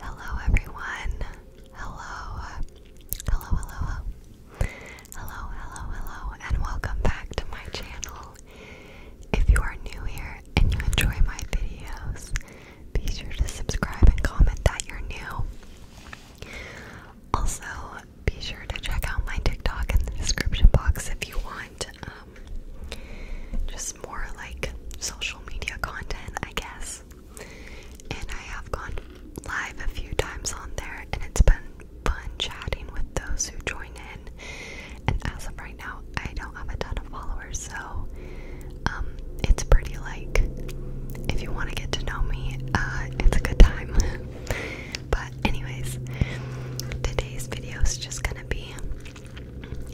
Hello, everyone. Hello. Hello, hello, hello. Hello, hello, and welcome back to my channel. If you are new here and you enjoy my videos, be sure to subscribe and comment that you're new. Also, be sure to check out my TikTok in the description box if you want um, just more like social media content, I guess. And I have gone live a few times on there, and it's been fun chatting with those who join in. And as of right now, I don't have a ton of followers, so um, it's pretty like if you want to get to know me, uh, it's a good time. But anyways, today's video is just gonna be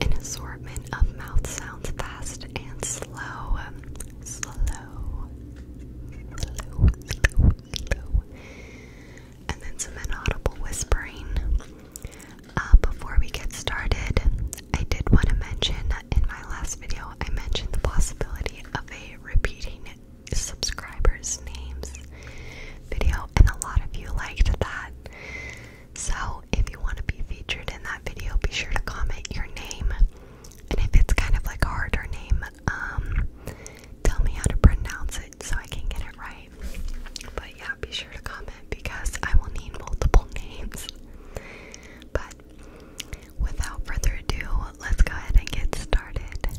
an assortment of mouth sounds fast and slow. Slow. Slow, And then some inaudible whispering. Uh, before we get started, I did want to mention in my last video, I mentioned the possibility of a repeating subscribers' names video, and a lot of you liked that. So, if you want to be featured in that video, be sure to comment your name. And if it's kind of like a harder name, um, tell me how to pronounce it so I can get it right. But yeah, be sure to comment because I will need multiple names. But without further ado, let's go ahead and get started.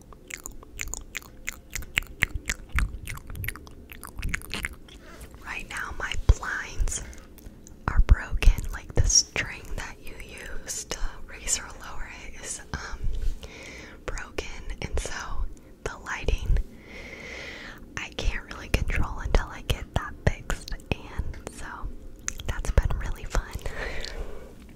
Right now, my blinds are broken. Like the string that you use to raise or lower it is um broken, and so the lighting I can't really control until I get that fixed. And so that's been really fun.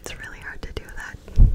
It's really hard to do that.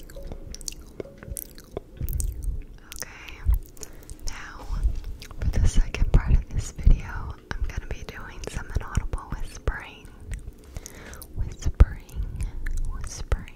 Okay, now for the second part of this video, I'm gonna be doing some inaudible whispering. Whispering, whispering.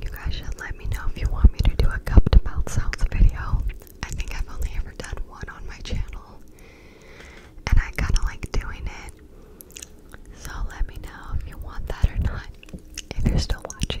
You guys should let me know if you want me to do a cup to mouth sounds video. I think I've only ever done one on my channel, and I kind of like doing it. So let me know if you want that or not, if you're still watching.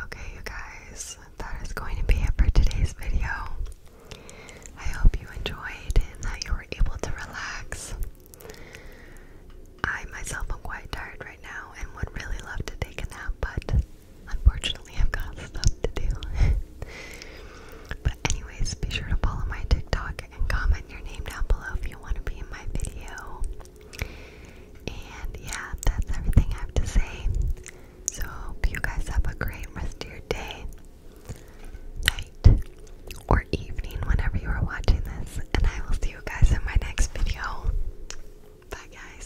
Okay, you guys, that is going to be it for today's video. I hope you enjoyed and that you were able to relax. I myself am quite tired right now and would really love to take a nap, but Unfortunately, I've got stuff to do. but, anyways, be sure to follow my TikTok and comment your name down below if you want to be in my video. And yeah, that's everything I have to say. So, hope you guys have a great rest of your day, night, or evening whenever you are watching this. And I will see you guys in my next video. Bye, guys.